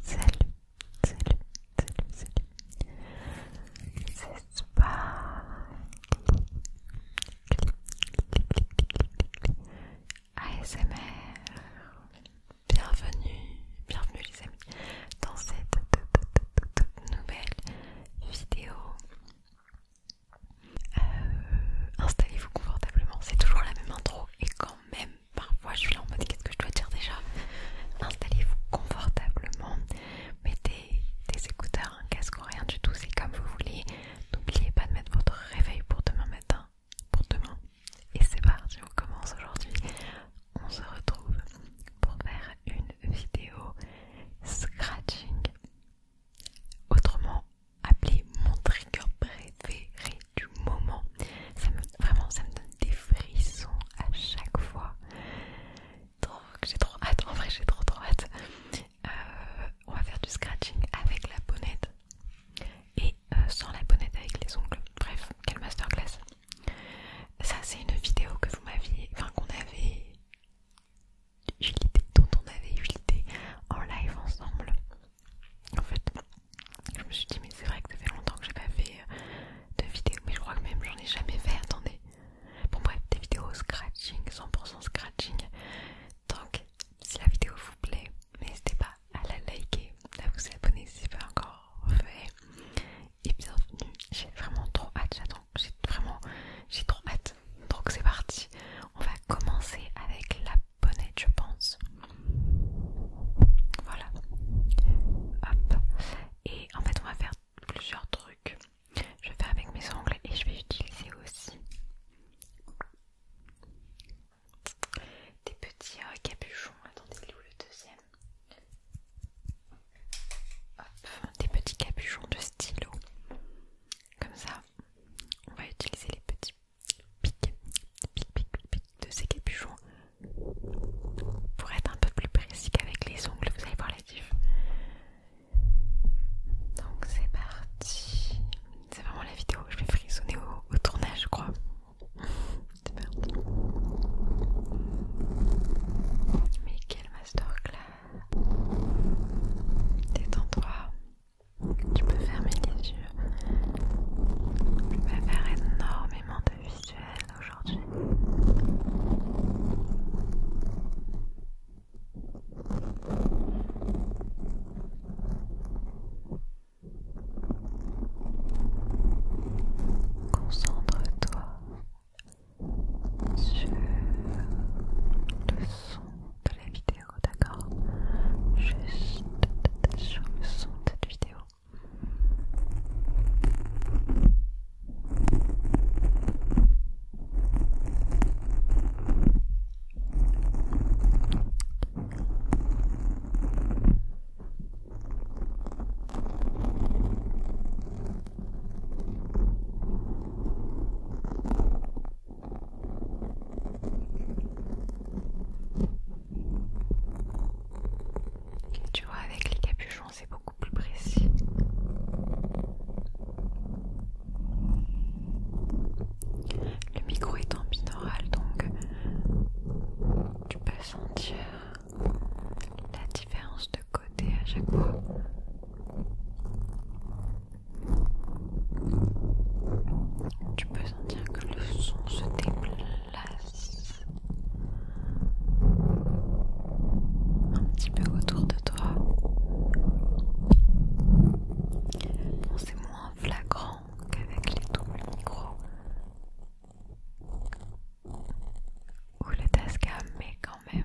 salut, salut, salut, salut. C'est pas ASMR. Bienvenue, bienvenue les amis dans cette toute, nouvelle vidéo. Euh, installez-vous confortablement, c'est toujours la même intro et même parfois je suis là en mode qu'est-ce que je dois dire déjà installez-vous confortablement mettez des écouteurs un casque ou rien du tout c'est comme vous voulez n'oubliez pas de mettre votre réveil pour demain matin pour demain et c'est parti on commence aujourd'hui on se retrouve pour faire une vidéo scratching autrement Appeler mon trigger préféré du moment. Ça me, vraiment, ça me donne des frissons à chaque fois. J'ai trop hâte, en vrai j'ai trop trop hâte. Euh, on va faire du scratching avec la bonnette et euh, sans la bonnette avec les ongles. Bref, quelle masterclass. Ça c'est une vidéo que vous m'aviez, enfin qu'on avait... Dont on avait eu l'idée en live ensemble en fait je me suis dit mais c'est vrai que ça fait longtemps que j'ai pas fait euh, de vidéo mais je crois que même j'en ai jamais fait attendez bon bref des vidéos scratching 100% scratching donc si la vidéo vous plaît n'hésitez pas à la liker à vous abonner si c'est pas encore fait et bienvenue j'ai vraiment trop hâte j'attends j'ai vraiment j'ai trop hâte donc c'est parti on va commencer avec la bonnet je pense. Voilà. Hop. Et en fait, on va faire plusieurs trucs. Je vais faire avec mes ongles et je vais utiliser aussi des petits euh, capuchons. Attendez, il est où le deuxième Hop, des petits capuchons de stylo. Comme ça, on va utiliser les petits Pique, pique, pique, de ces capuchons. Pour être un peu plus précis qu'avec les ongles, vous allez voir les diff. Donc c'est parti. C'est vraiment la vidéo que je vais frissonner au, tournage, je crois. c'est parti. Mais quel masterclass Des droit tu peux fermer les yeux. tu vas faire énormément de visuels aujourd'hui. Concentre-toi sur le son de la vidéo vidéo, d'accord Juste sur le son de cette vidéo. Tu vois, avec les capuchons, c'est beaucoup plus précis. Le micro est en binaural, donc tu peux sentir la différence de côté à chaque fois que le son se déplace un petit peu autour de toi. c'est moins flagrant qu'avec les doubles micros ou le Tascam, mais quand même.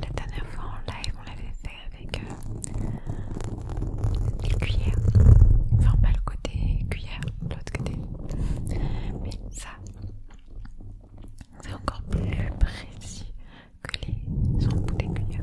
La dernière fois en live, on l'avait fait avec des euh, les cuillères, enfin pas le côté cuillère, l'autre côté, mais ça c'est encore plus précis que les embouts des cuillères.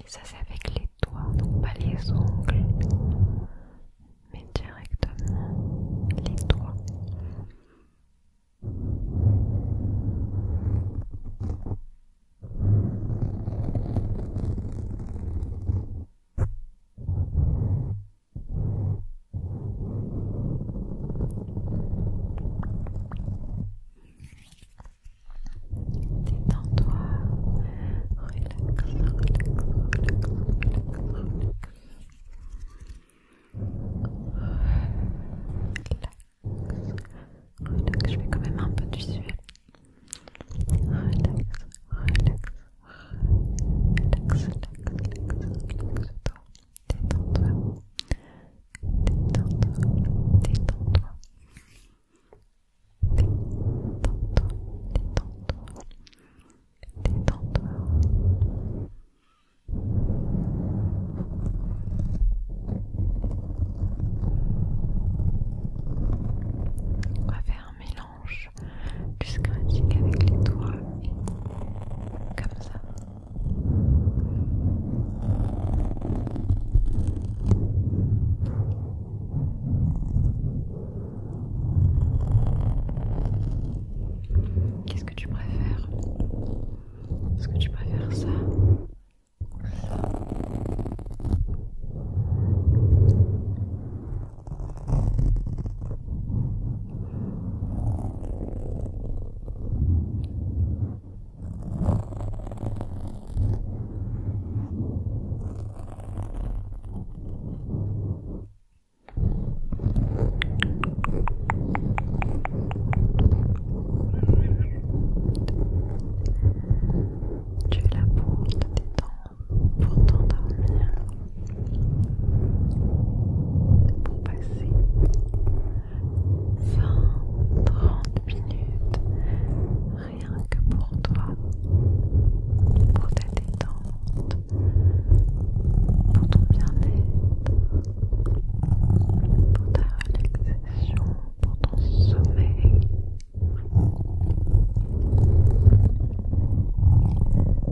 Et ça c'est avec les doigts, donc pas les ongles, mais directement les doigts. Détends-toi, relax, relax, relax, relax. Relax, je fais quand même un peu de relax, relax, relax, relax, relax, relax, relax, relax, Détends-toi. Détends-toi. Détends-toi. Détends-toi. Détends-toi. Détends-toi. On va faire un mélange plus critique avec les doigts comme ça Qu'est-ce que tu préfères Est-ce que tu préfères ça tu es là pour te détendre, pour t'endormir pour passer 20-30 minutes rien que pour toi, pour ta détente, pour ton bien-être, pour ta relaxation, pour ton sommeil.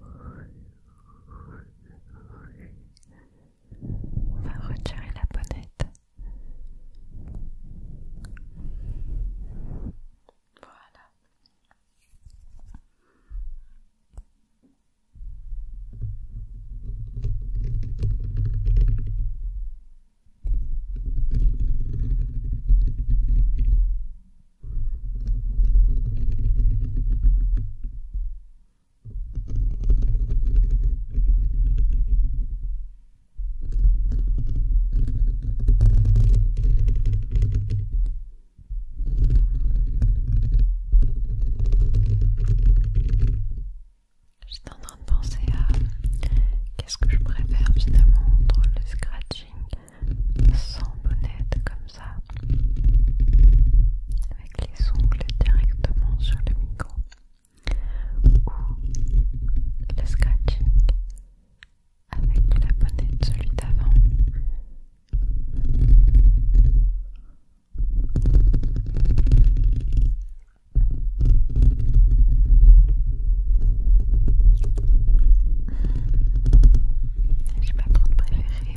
On va retirer la bonnette. Voilà. J'étais en train de penser à qu'est-ce que je préfère finalement entre le scratching sans bonnet comme ça avec les ongles directement sur le micro ou le scratching avec la bonnette celui d'avant j'ai pas trop de préférés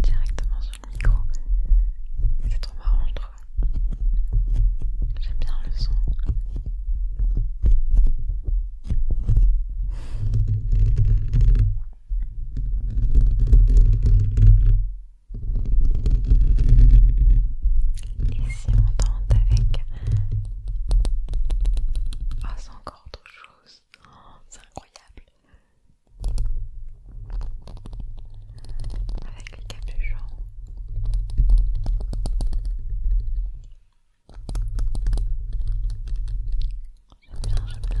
directement sur le micro. C'est trop marrant, je trouve. J'aime bien le son. Et si on tente avec... Ah, c'est encore autre chose. Oh, c'est incroyable avec les capuchons. J'aime bien, j'aime bien.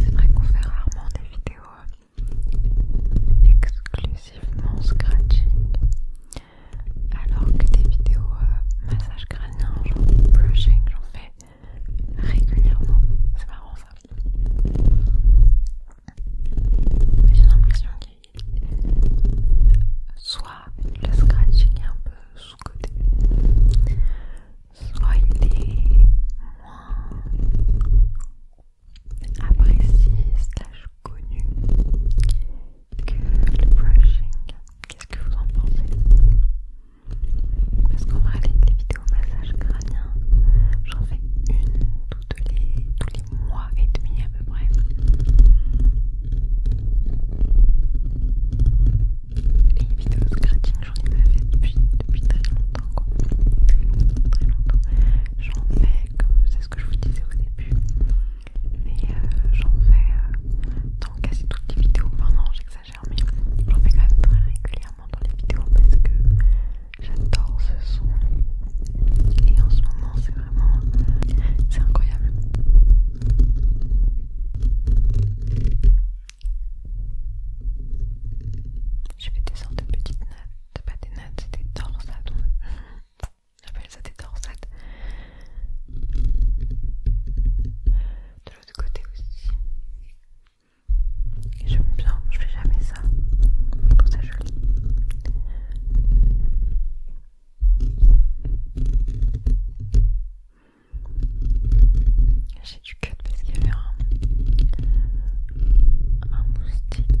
C'est vrai qu'on fait rarement des vidéos euh, exclusivement scratchy alors que des vidéos euh, massage crânien, genre brushing, j'en fais régulièrement. C'est marrant ça. Mais j'ai l'impression qu'il soit le scratching est un peu sous-côté, soit il est moins apprécié stage connu que le brushing. Qu'est-ce que vous en pensez Parce qu'on va aller les vidéos massage crânien, j'en fais une toutes les, tous les mois et demi à peu près. les vidéos scratching, j'en ai pas fait depuis, depuis très longtemps, quoi. très longtemps. J'en fais, comme c'est ce que je vous disais au début, mais euh, j'en fais dans euh, quasi toutes les vidéos, enfin non j'exagère mais j'en fais quand même très régulièrement dans les vidéos parce que j'adore ce son et en ce moment c'est vraiment c'est incroyable je fais des sortes de petites notes, pas des notes, c'est des torsades J'appelle ça des torsades. De l'autre côté aussi. Et j'aime bien, je fais jamais ça. Je trouve ça joli. J'ai du cut parce qu'il y avait un moustique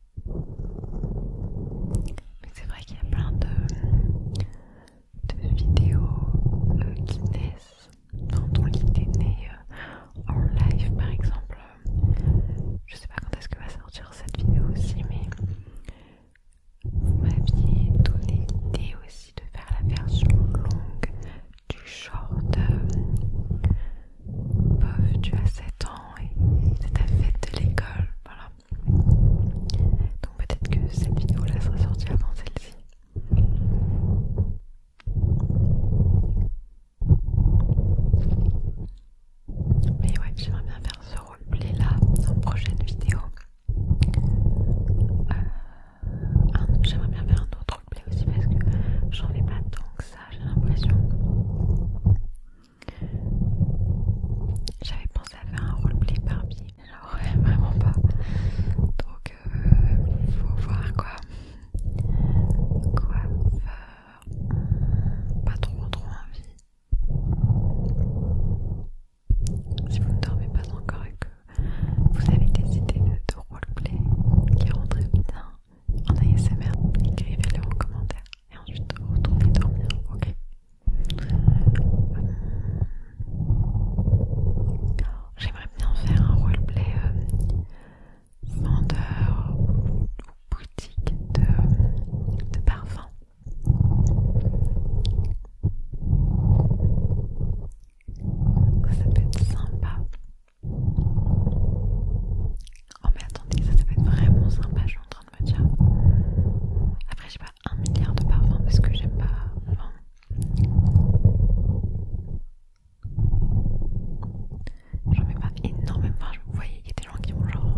c'est vrai qu'il y a plein de, vidéos euh, qui naissent dans ton lit euh, en live par exemple. Je sais pas quand est-ce que va sortir cette vidéo aussi, mais vous m'aviez donné l'idée aussi de faire la version longue du short. Euh, bof, tu as 7 ans et c'est ta fête de l'école, voilà. Donc peut-être que cette vidéo-là sera sortie avant celle-ci. Mais ouais, j'aimerais bien faire ce roleplay-là dans une prochaine vidéo. Euh, ah, j'aimerais bien faire un autre roleplay aussi parce que j'en ai pas tant que ça, j'ai l'impression. J'avais pensé à faire un roleplay Barbie, mais vraiment pas. Donc il euh, faut voir quoi. Quoi pas trop trop envie. Si vous ne dormez pas encore et que vous avez des idées de, roleplay qui rendraient bien en ASMR, écrivez-le en commentaire et ensuite retourner dormir, ok J'aimerais bien faire un roleplay euh, vendeur ou boutique de, de parfum. Ça peut être sympa. Oh mais attendez, ça, peut être vraiment sympa, je suis après, j'ai pas un milliard de parfums parce que j'aime pas. Enfin... J'en mets pas énormément. vous voyez, il y a des gens qui ont genre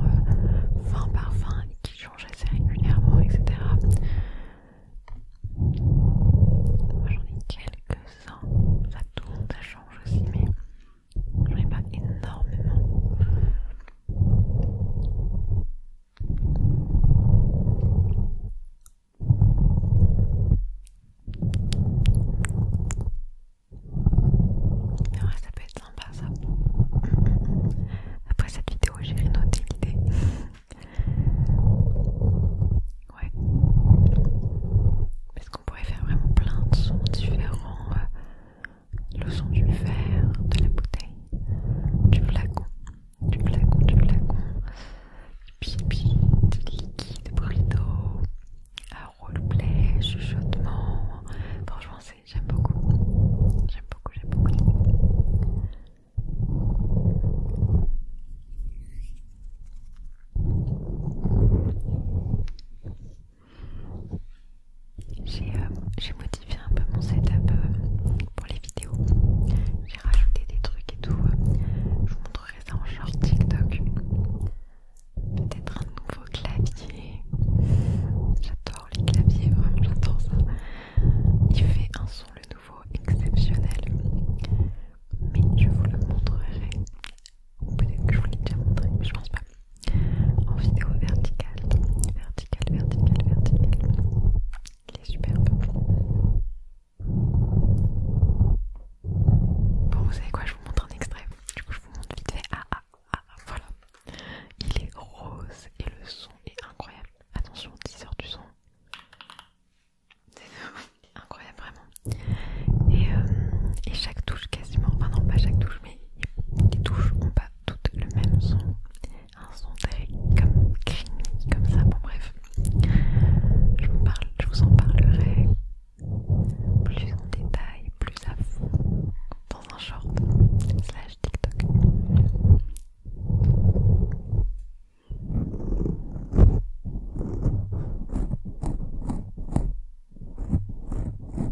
20 euh, parfums et qui changent assez régulièrement, etc. Moi j'en ai quelques-uns, ça tourne, ça change aussi, mais J'en ai pas énormément. Mais ouais, ça peut être sympa ça. Après cette vidéo, j'irai noter l'idée. Ouais. Est-ce qu'on pourrait faire vraiment plein de sons différents. Euh, le son du verre, de la bouteille, du flacon, du flacon, du flacon, pipi, du liquide, bruit d'eau, roleplay, chuchotement. Franchement, j'aime beaucoup. J'aime beaucoup, j'aime beaucoup. Euh, j'ai modifié un peu mon setup euh, pour les vidéos. J'ai rajouté des trucs et tout. Euh. je vous montrerai ça en genre TikTok. Peut-être un nouveau clavier. J'adore les claviers, vraiment j'adore ça. Il fait un son le nouveau exceptionnel. Mais je vous le montrerai. Peut-être que je vous l'ai déjà montré, mais je pense pas en vidéo verticale, verticale, verticale, verticale. Il est superbe. Bon, vous savez quoi, je vous montre un extrait. Du coup, je vous montre vite fait. Ah, ah, ah, ah voilà. Il est rose et le son est incroyable. Attention, 10 heures du son. C'est incroyable, vraiment. Et, euh, et chaque touche, quasiment, enfin non, pas chaque touche, mais les touches ont pas tout le même son. Un son très comme comme ça. Bon bref, parle, je vous en parlerai plus en détail, plus à fond dans un short slash TikTok.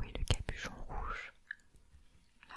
Oui le capuchon rouge Là.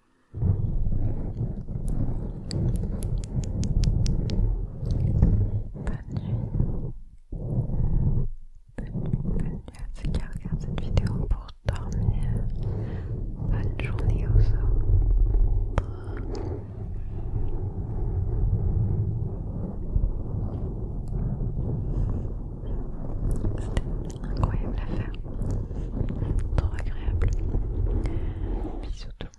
Bonne nuit. Bonne nuit, à ceux qui regardent cette vidéo pour dormir. Bonne journée aux autres. C'était incroyable à faire. Trop agréable. Bisous tout le monde.